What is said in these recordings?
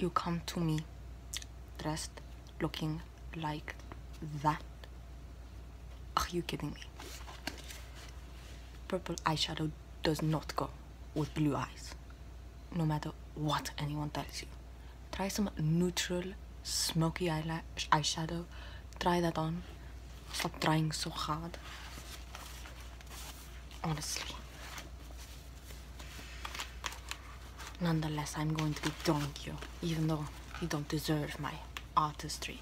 you come to me dressed looking like that are you kidding me purple eyeshadow does not go with blue eyes, no matter what anyone tells you. Try some neutral, smoky eyelash, eyeshadow. Try that on. Stop trying so hard. Honestly. Nonetheless, I'm going to be drawing you, even though you don't deserve my artistry.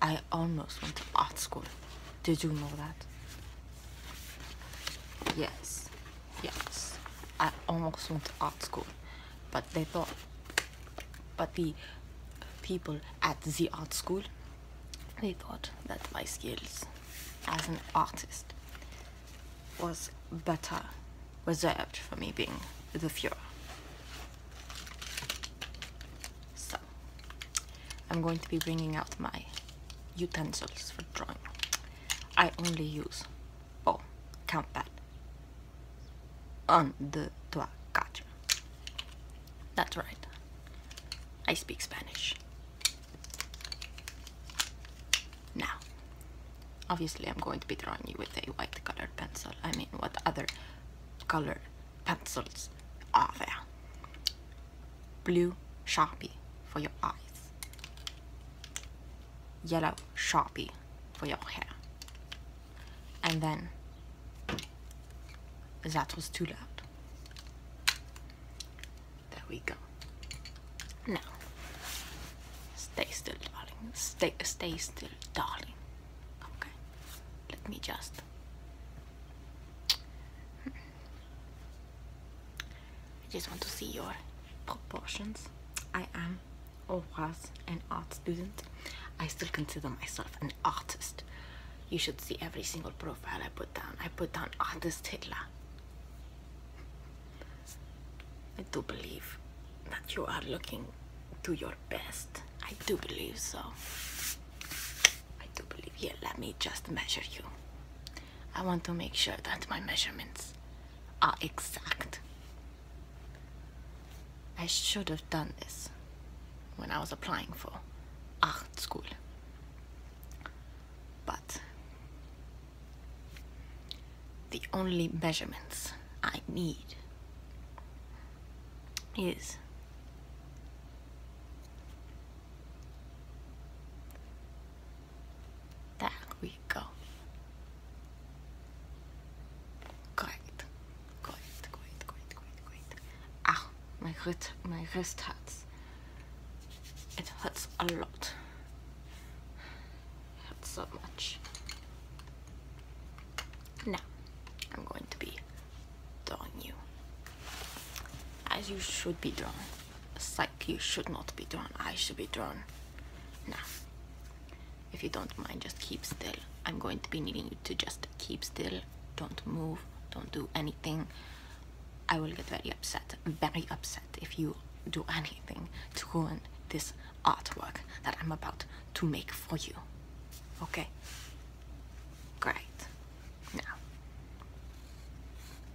I almost went to art school. Did you know that? Yes, yes. I almost went to art school, but they thought, but the people at the art school, they thought that my skills as an artist was better reserved for me being the Fuhrer. So, I'm going to be bringing out my utensils for drawing. I only use bow, oh, countpad, un, deux, trois, quatre. That's right. I speak Spanish. Now, obviously I'm going to be drawing you with a white colored pencil. I mean, what other color pencils are there? blue sharpie for your eyes, yellow sharpie for your hair. And then that was too loud. There we go. Now, stay still, darling. Stay, stay still, darling. Okay. Let me just. Hmm. I just want to see your proportions. I am or was an art student. I still consider myself an artist. You should see every single profile I put down. I put down artist Hitler. I do believe that you are looking to your best. I do believe so. I do believe. Here, let me just measure you. I want to make sure that my measurements are exact. I should have done this when I was applying for art school. But the only measurements I need is there we go. Great, great, great, great, great, great. Ah, my wrist, my wrist hurts. It hurts a lot. It hurts so much. Now, I'm going to be drawing you as you should be drawing. It's like you should not be drawn. I should be drawn. Now, if you don't mind, just keep still. I'm going to be needing you to just keep still. Don't move. Don't do anything. I will get very upset. Very upset if you do anything to ruin this artwork that I'm about to make for you. Okay? Great. Now,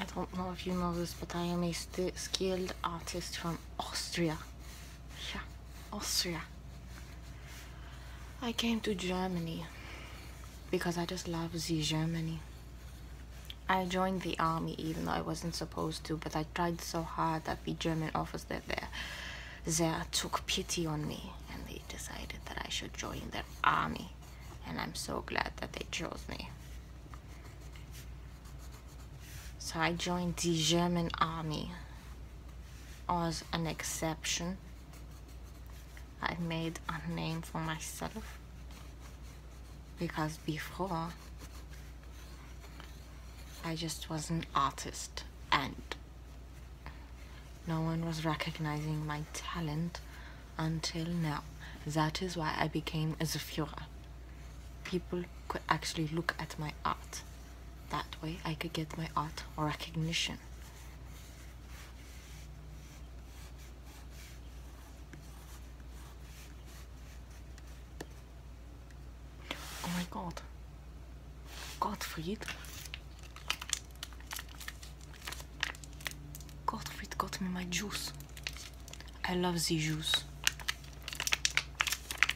I don't know if you know this, but I am a skilled artist from Austria. Yeah, Austria. I came to Germany because I just love the Germany. I joined the army even though I wasn't supposed to, but I tried so hard that the German officer there, there took pity on me and they decided that I should join their army. And I'm so glad that they chose me. So I joined the German army as an exception. I made a name for myself because before I just was an artist and no one was recognizing my talent until now. That is why I became a Zafura. People could actually look at my art. That way I could get my art recognition. Oh my god. Gottfried. Gottfried got me my juice. I love the juice.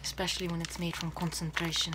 Especially when it's made from concentration.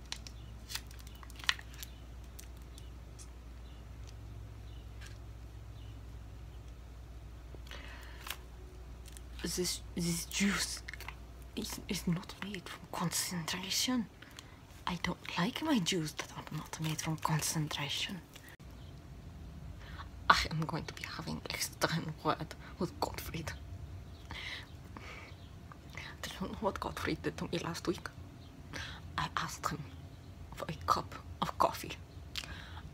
This, this juice is, is not made from concentration. I don't like my juice that are not made from concentration. I am going to be having external word with Gottfried. I don't know what Gottfried did to me last week. I asked him for a cup of coffee.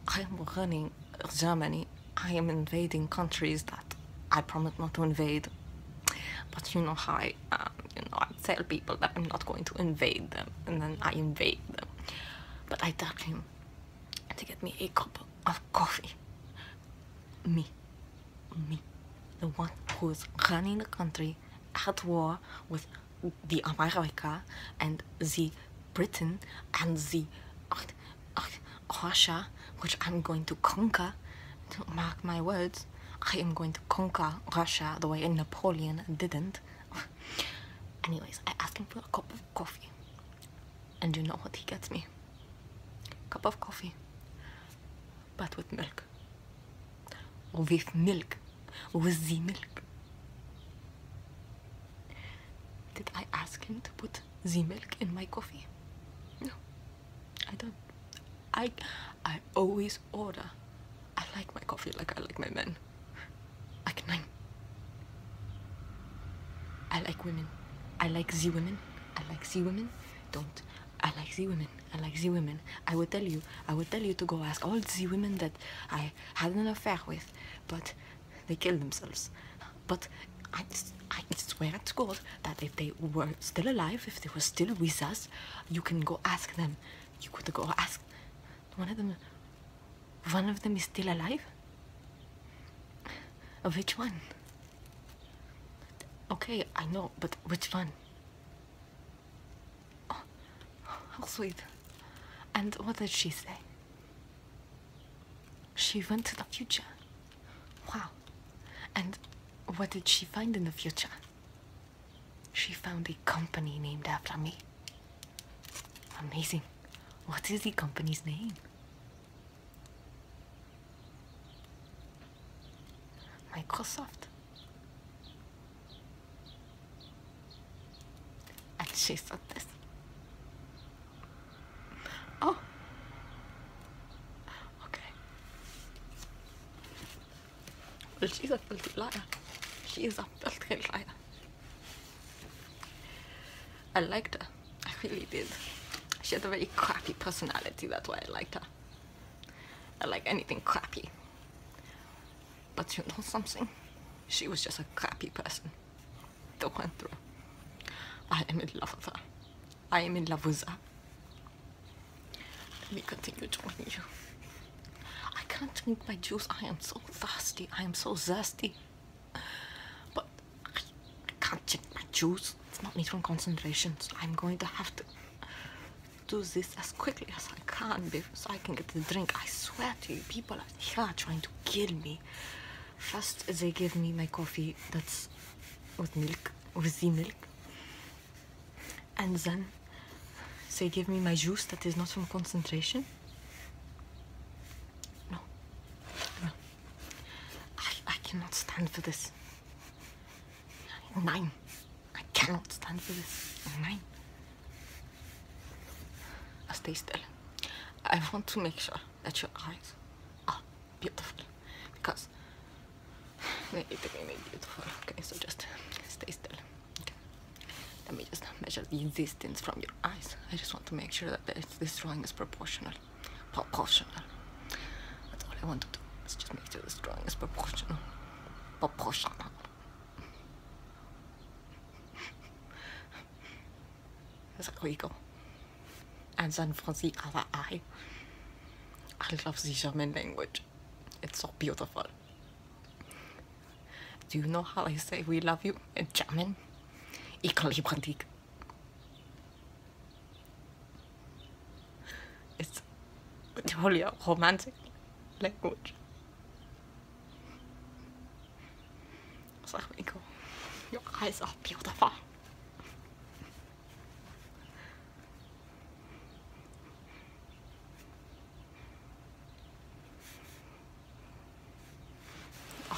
I am running Germany. I am invading countries that I promised not to invade. But you know how I, you know, I tell people that I'm not going to invade them, and then I invade them. But I tell him to get me a cup of coffee. Me, me, the one who's running the country at war with the America and the Britain and the Russia, which I'm going to conquer. Mark my words, I am going to conquer Russia the way Napoleon didn't. Anyways, I asked him for a cup of coffee. And you know what he gets me? Cup of coffee, but with milk. With milk with the milk did I ask him to put the milk in my coffee no I don't I I always order I like my coffee like I like my men like nine I like women I like Z women I like Z women don't I like the women. I like the women. I will tell you. I will tell you to go ask all the women that I had an affair with, but they killed themselves. But I, swear to God that if they were still alive, if they were still with us, you can go ask them. You could go ask one of them. One of them is still alive. Which one? Okay, I know, but which one? Oh, how oh, sweet. And what did she say? She went to the future. Wow. And what did she find in the future? She found a company named after me. Amazing. What is the company's name? Microsoft. And she said this. Oh. Okay. Well, she's a filthy liar. She is a filthy liar. I liked her. I really did. She had a very crappy personality. That's why I liked her. I like anything crappy. But you know something? She was just a crappy person that went through. I am in love with her. I am in love with her. Let me continue joining you. I can't drink my juice. I am so thirsty. I am so thirsty. But I, can't drink my juice. It's not me for concentrations. I'm going to have to do this as quickly as I can because I can get the drink. I swear to you, people are trying to kill me. First, they give me my coffee that's with milk, with the milk, and then they give me my juice that is not from concentration. No, I, I cannot stand for this. Nine. I cannot stand for this. Nein. stay still. I want to make sure that your eyes are beautiful because they make beautiful. Okay, so just stay still. Let me just measure the distance from your eyes. I just want to make sure that this drawing is proportional. Proportional. That's all I want to do. Let's just make sure this drawing is proportional proportional. There we go. And San Francisco, I, I love the German language. It's so beautiful. Do you know how I say we love you in German? Ich liebe dich. It's totally romantic language. Sag mir, Ingo, your eyes are beautiful.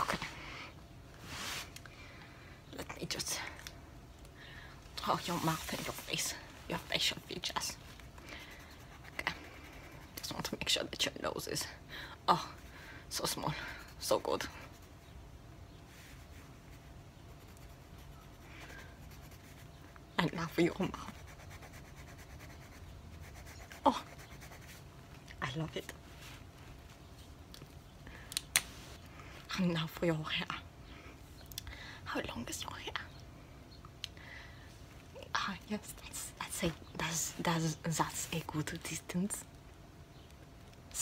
Okay. Let me just Oh, your mouth and your face, your facial features. Okay. Just want to make sure that your nose is, oh, so small, so good. And now for your mouth. Oh, I love it. And now for your hair how long is your hair? Ah yes, that's that's a that's that's that's a good distance.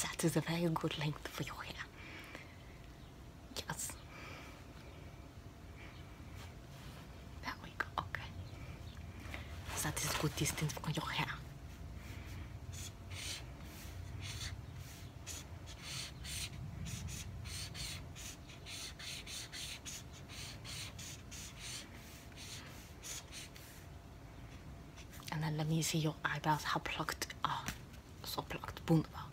That is a very good length for your hair. Yes. There we go. Okay. That is good distance for your hair. And then let me see your eyebrows, how plucked Ah, So plucked. Wunderbar.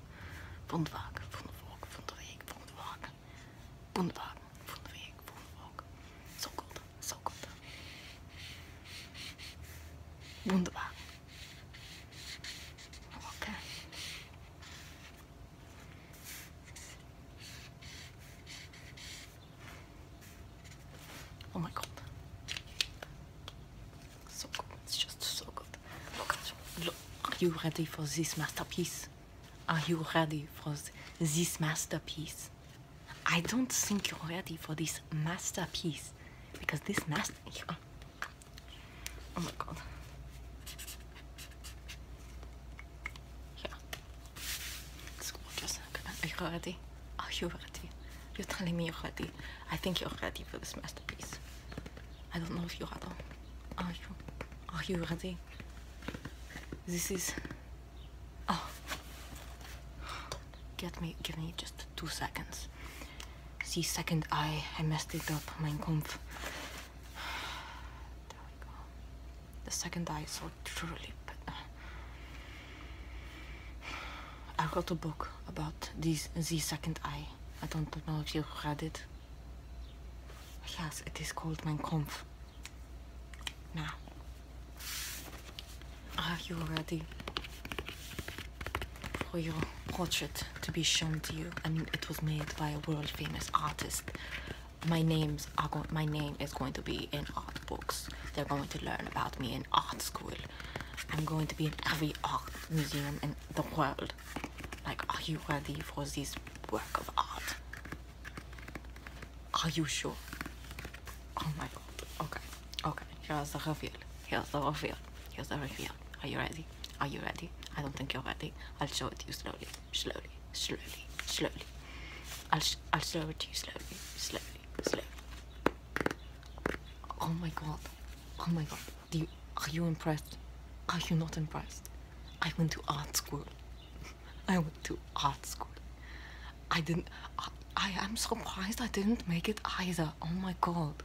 Wunderbar. Wunderwog. Wunderweg. Wunderwag. Wunderwag. Wunderweg. Wunderwog. So good. So good. Wunderbar. Okay. Oh my god. So good. It's just so good. Look at Look. Are you ready for this masterpiece? Are you ready for this masterpiece? I don't think you're ready for this masterpiece because this master. Oh my god. Yeah. It's gorgeous. Are you ready? Are you ready? You're telling me you're ready. I think you're ready for this masterpiece. I don't know if you are though. Are you? Are you ready? This is... Oh. Get me, give me just two seconds the second eye. I messed it up, Mein Kampf. There we go. The second eye so truly. I wrote a book about this, the second eye. I don't know if you read it. Yes, it is called Mein Kampf. Now, are you ready for your portrait to be shown to you. I mean, it was made by a world famous artist. My names going. My name is going to be in art books. They're going to learn about me in art school. I'm going to be in every art museum in the world. Like, are you ready for this work of art? Are you sure? Oh my god. Okay. Okay. Here's the reveal. Here's the reveal. Here's the reveal. Are you ready? Are you ready? I don't think you're ready. I'll show it to you slowly, slowly, slowly, slowly. I'll I'll show it to you slowly, slowly, slowly. Oh my god! Oh my god! are you impressed? Are you not impressed? I went to art school. I went to art school. I didn't. I am surprised I didn't make it either. Oh my god.